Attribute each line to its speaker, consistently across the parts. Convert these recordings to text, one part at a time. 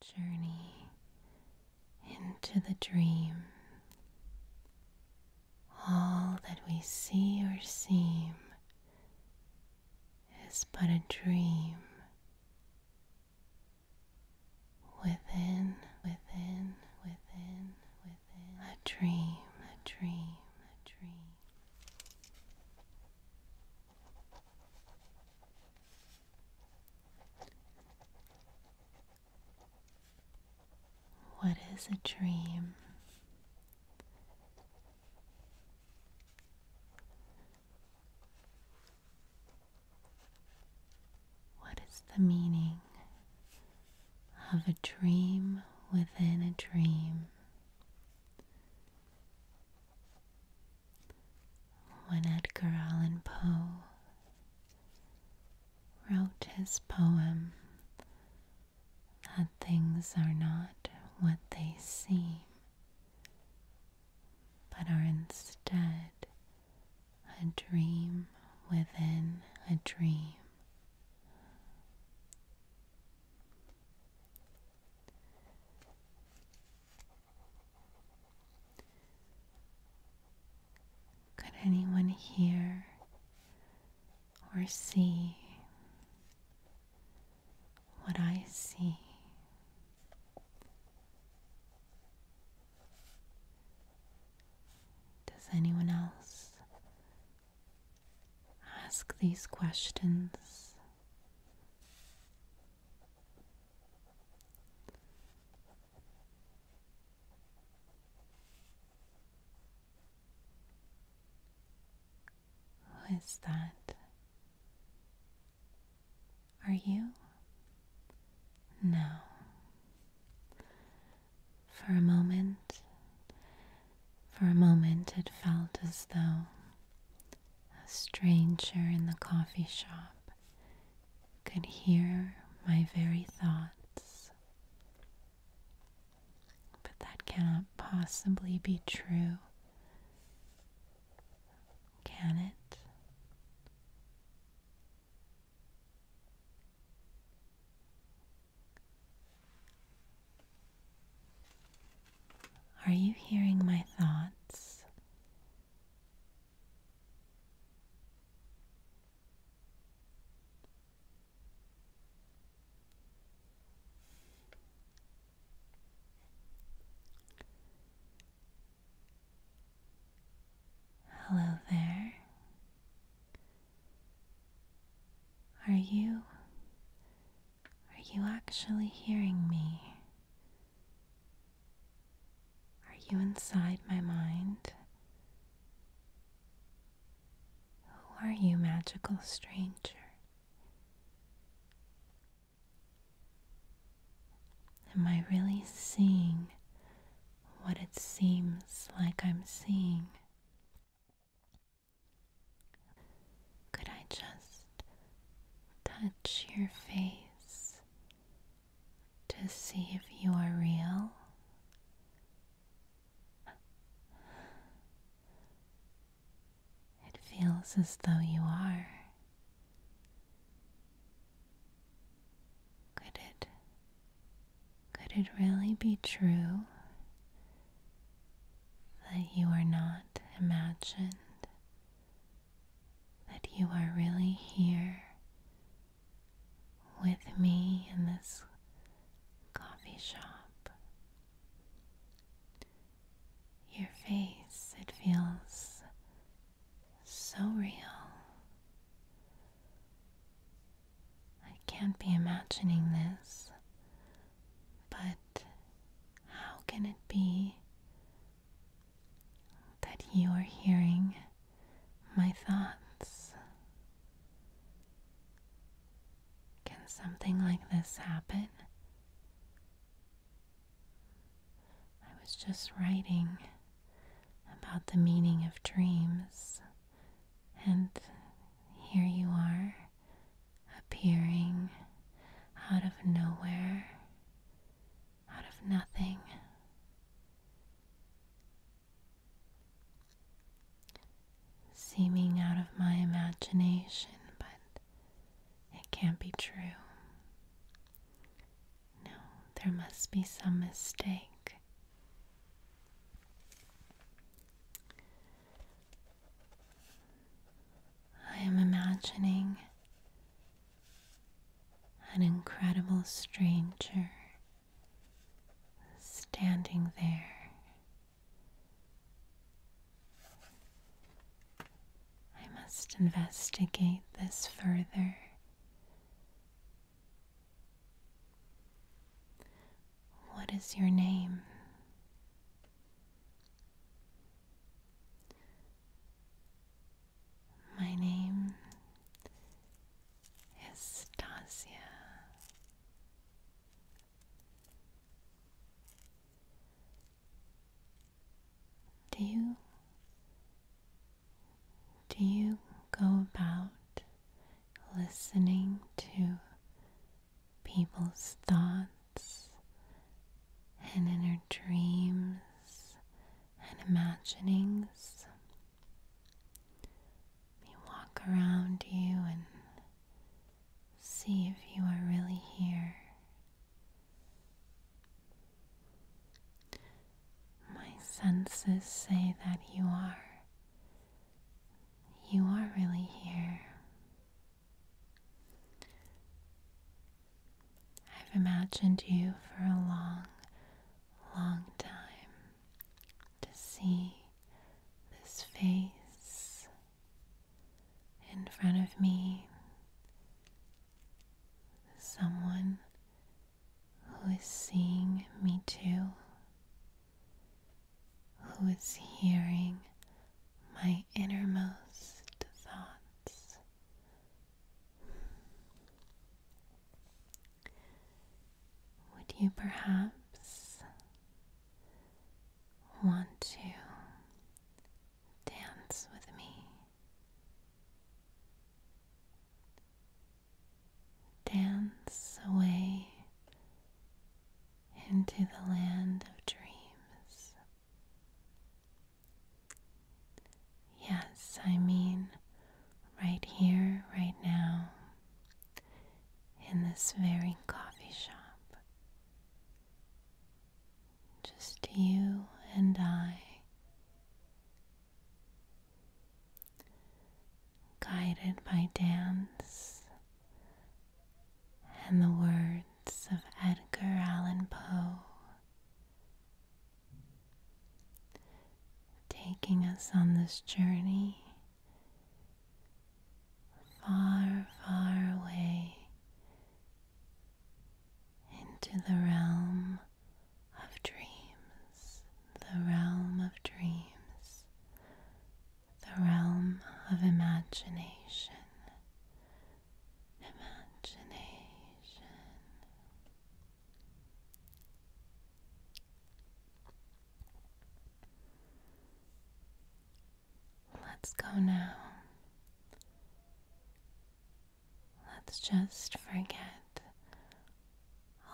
Speaker 1: journey into the dream. All that we see or seem is but a dream. Within, within, within, within a dream, a dream, a dream. What is a dream? What is the meaning of a dream within a dream? When Edgar Allan Poe wrote his poem, That Things Are Not What They Seem, but Are Instead a Dream Within a Dream. Could anyone hear or see what I see? Does anyone else ask these questions? Who is that? Are you? No. For a moment, for a moment it felt as though a stranger in the coffee shop could hear my very thoughts. But that cannot possibly be true. Can it? Are you hearing my thoughts? Hello there. Are you are you actually hearing me? Are you inside my mind? Who are you, magical stranger? Am I really seeing what it seems like I'm seeing? Could I just touch your face to see if you are real? It feels as though you are. Could it could it really be true that you are not imagined? That you are really here with me in this coffee shop? Your face, it feels so real. I can't be imagining this, but how can it be that you are hearing my thoughts? Can something like this happen? I was just writing about the meaning of dreams and here you are, appearing out of nowhere, out of nothing. Seeming out of my imagination, but it can't be true. No, there must be some mistake. I am imagining an incredible stranger standing there. I must investigate this further what is your name? My name is Stasia. Do you do you go about listening to people's thoughts and inner dreams and imaginings? You walk around you and see if you are really here. My senses say that you are. You are really here. I've imagined you for a long, long time to see this face in front of me. Someone who is seeing me too, who is hearing my innermost thoughts. Would you perhaps want to dance with me? Dance away into the land of dreams. Yes, I mean right here, right now, in this very coffee shop. Just you and I guided by dance and the words of Edgar Allan Poe, taking us on this journey far, far away into the realm of dreams, the realm of dreams, the realm of imagination. Imagination. Let's go now Let's just forget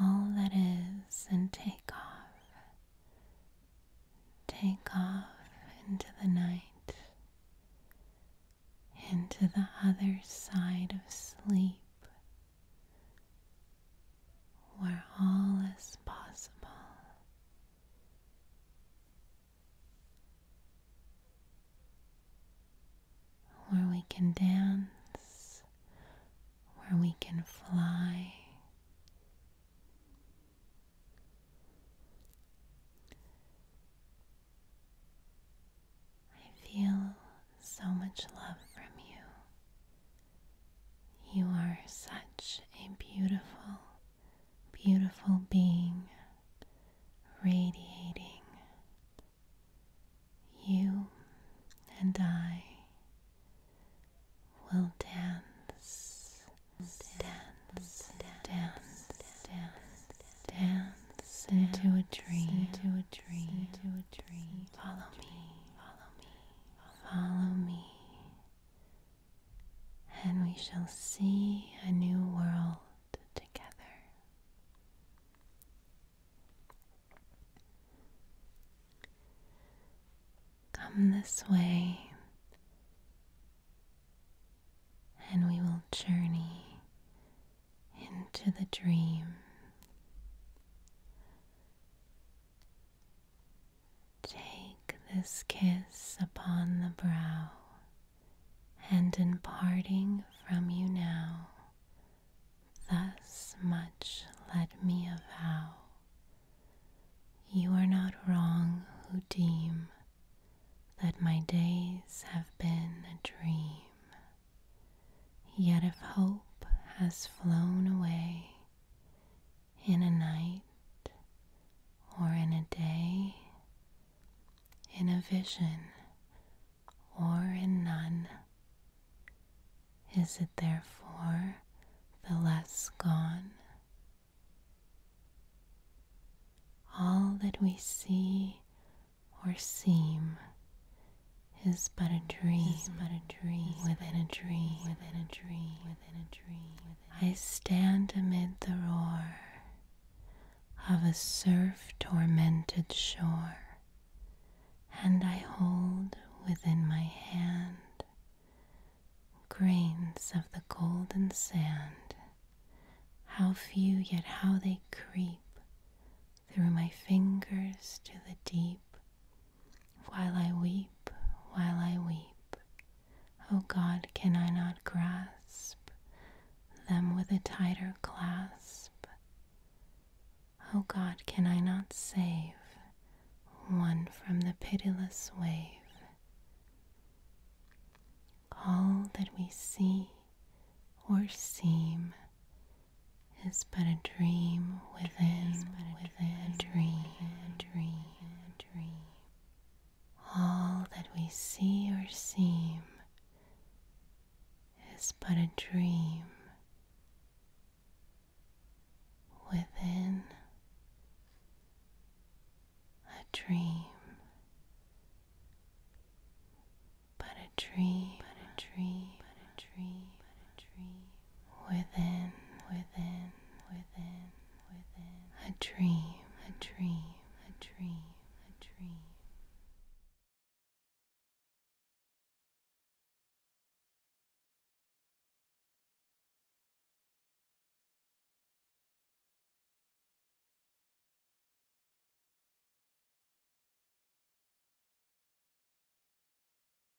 Speaker 1: all that is and take off. Take off into the night, into the other side of sleep, where all is possible where we can dance, where we can fly. I feel so much love from you. You are such a beautiful, beautiful being radiating. You and I will dance, dance, dance, dance, dance into a dream, into a dream, into a dream. Follow me, follow me, follow me and we shall see a new world together. Come this way, and we will journey into the dream. Take this kiss upon the brow, and in parting from you now, thus much let me avow. You are not wrong who deem that my days have been a dream. Yet if hope has flown away, in a night or in a day, in a vision or in none? Is it therefore the less gone? All that we see or seem is but a dream, is but a dream within a dream, within a dream, within a dream. Within a dream. I stand amid the roar of a surf tormented shore, and I hold within my hand grains of the golden sand. How few, yet how they creep through my fingers to the deep while I weep, while I weep, O God, can I not grasp them with a tighter clasp? O God, can I not save one from the pitiless wave? All that we see or seem is but a dream within, a dream a dream. All that we see or seem is but a dream within a dream, but a dream, but a dream, but a dream within, within, within, within. A dream, a dream, a dream, a dream.